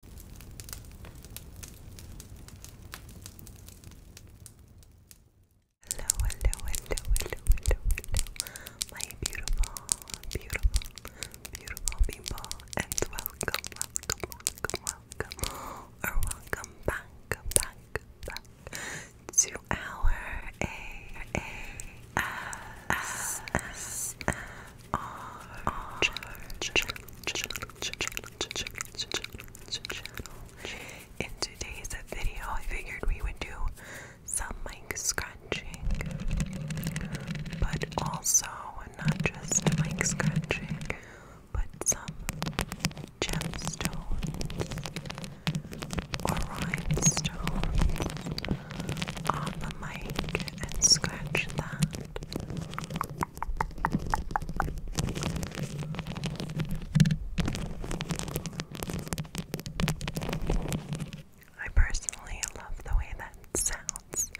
Hello, hello, hello, hello, hello, hello, my beautiful, beautiful, beautiful people, and welcome, welcome, welcome, welcome, or welcome back, back, back to our A A S S S our In today's video, I figured we would do some mic scratching, but also not just mic scratching, but some gemstones or rhinestones on the mic and scratch that I personally love the way that sounds.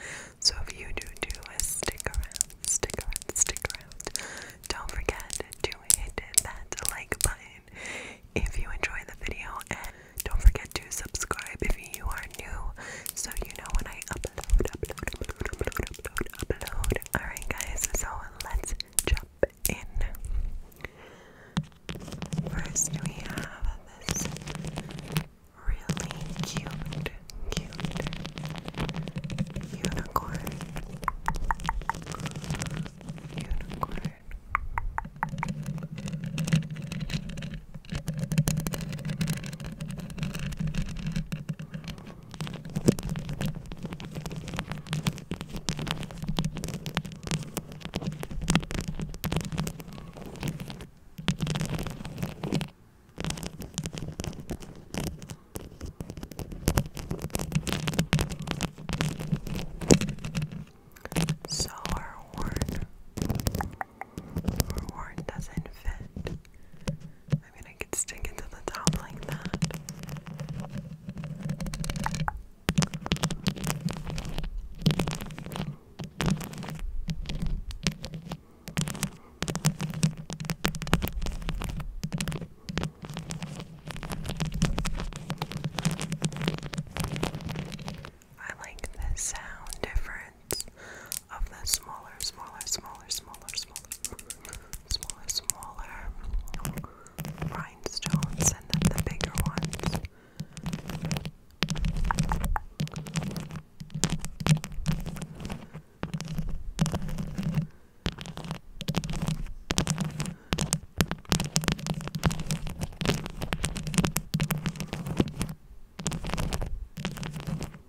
So if you do do stick around, stick around, stick around. Don't forget to hit that like button if you enjoy the video and don't forget to subscribe if you are new so you know when I Alright, guys, so let's jump in. First, we have this really cute, cute unicorn. Unicorn. Sour horn or where doesn't fit. I mean, I could stick it to the top like that. I like the sound different of the smaller, smaller, smaller, smaller, smaller, smaller, smaller rhinestones and then the bigger ones.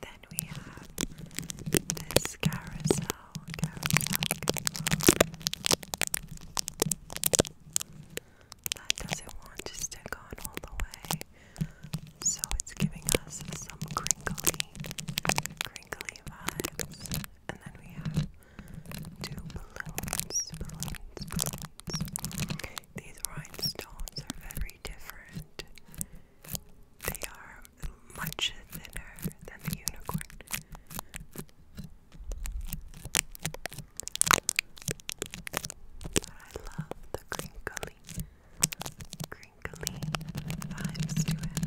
Then we have this carousel, carousel, That doesn't want to stick on all the way, so it's giving us some crinkly, crinkly vibes. And then we have two balloons, balloons. These rhinestones are very different. They are much thinner than the unicorn. But I love the crinkly, crinkly vibes to it.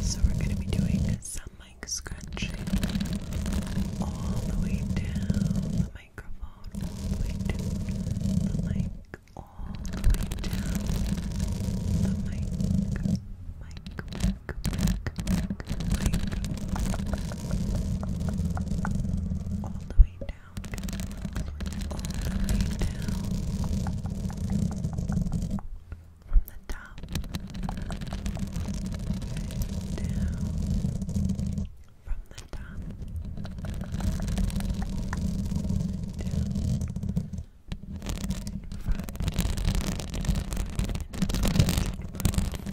So we're going to be doing some mic scratching all the way down the microphone, all the way down the mic, all the way down the mic, blink, blink, blink, blink. All the way down, all the way down. From the top, down. From the top, down. Front, front, front, front, front, front, front,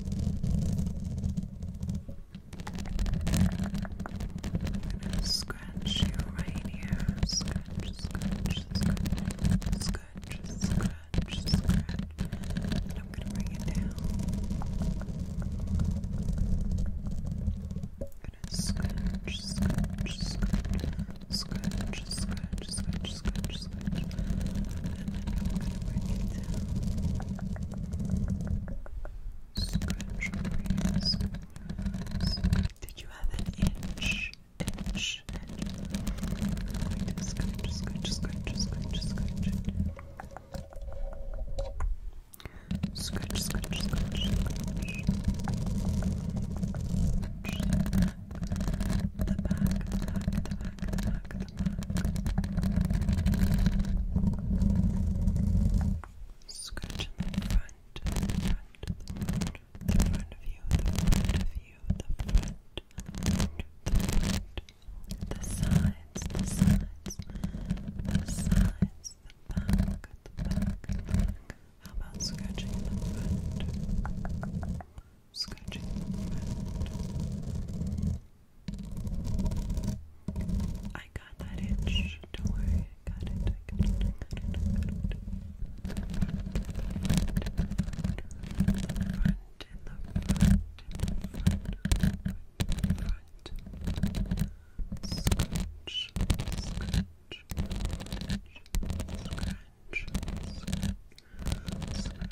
I'm gonna scratch you right here. Scratch, scratch, scratch, scratch, scratch, scratch. And I'm gonna bring it down. I'm gonna scratch, scratch, scratch, scratch, scratch, scratch, scratch, much so much. And then you want to bring it down. Scratch over scratch. Did you have an inch? Inch, inch. I'm going to scratch, scratch, scratch, scratch, scratch. Scratch, scratch, scratch, scratch. The back, the back, the back, the back, the Scratch in the front, the front, the front, the front of you, the front of you, the front, the front, the front, the sides, the sides, the sides, the back, the back, the back. How about scratching the front? I got that itch. Don't worry, I got it. I got it. it. Front in the front, front, scratch, scratch, scratch, scratch, scratch,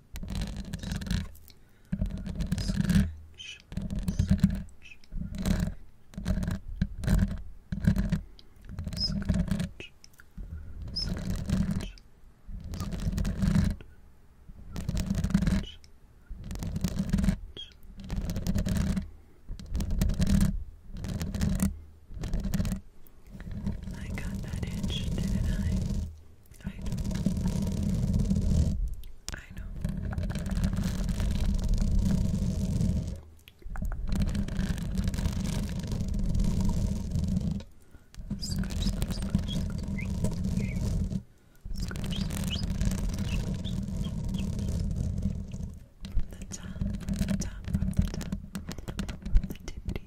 Scratch, scratch, scratch, scratch, I got that itch, didn't I? I know. I know. Scratch, scratch, scratch, scratch. Scratch, scratch, scratch, scratch. From the top, from the top, from the top, from the tippity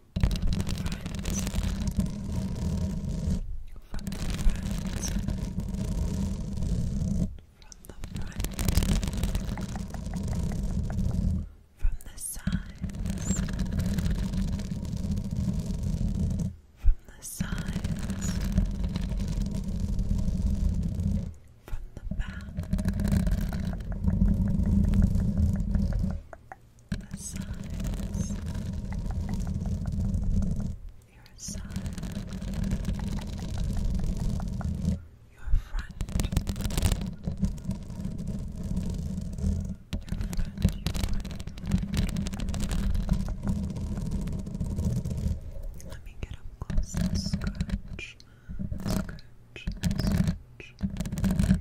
friends from the friends from the front from the sides from the sides from the back from the the sides. Your side, your front, your front, Let me get up close scratch, scratch, scratch, scratch,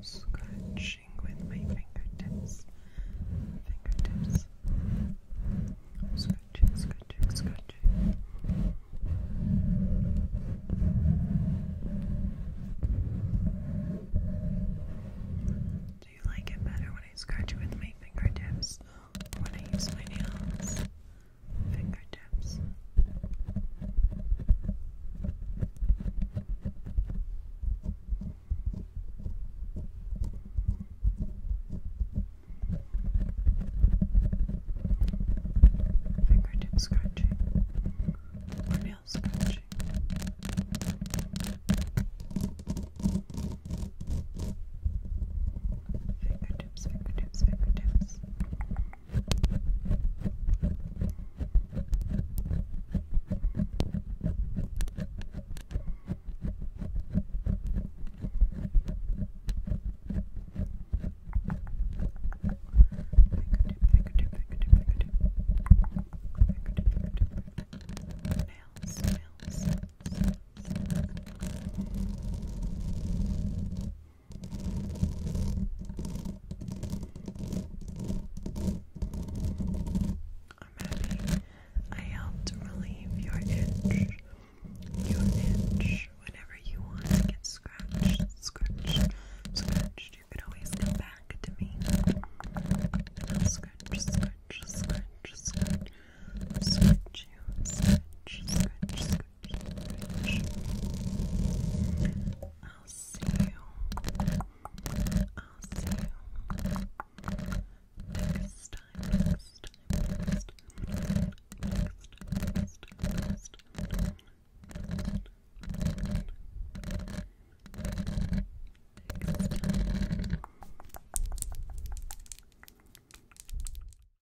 Scratching with my fingertips. Fingertips. Scratching, scratching, scratching. Do you like it better when I scratch with my fingertips or when I use my nails? fingertips. Fingertip scratching or nail scratching fingertips, fingertips, fingertips. Fingertip, fingertip, fingertip, fingertip, fingertip, fingertip. Nails, nails, nails, nails. I'm happy I helped relieve your itch. Your itch. Whenever you want to get scratched, scratched, scratched, you could always come back to me. I'll scratch, scratch, scratch, scratch. Scratch you, scratch, scratch, scratch. I'll see you. I'll see you next time. Next time. Next time. Next time. Next time. Next time.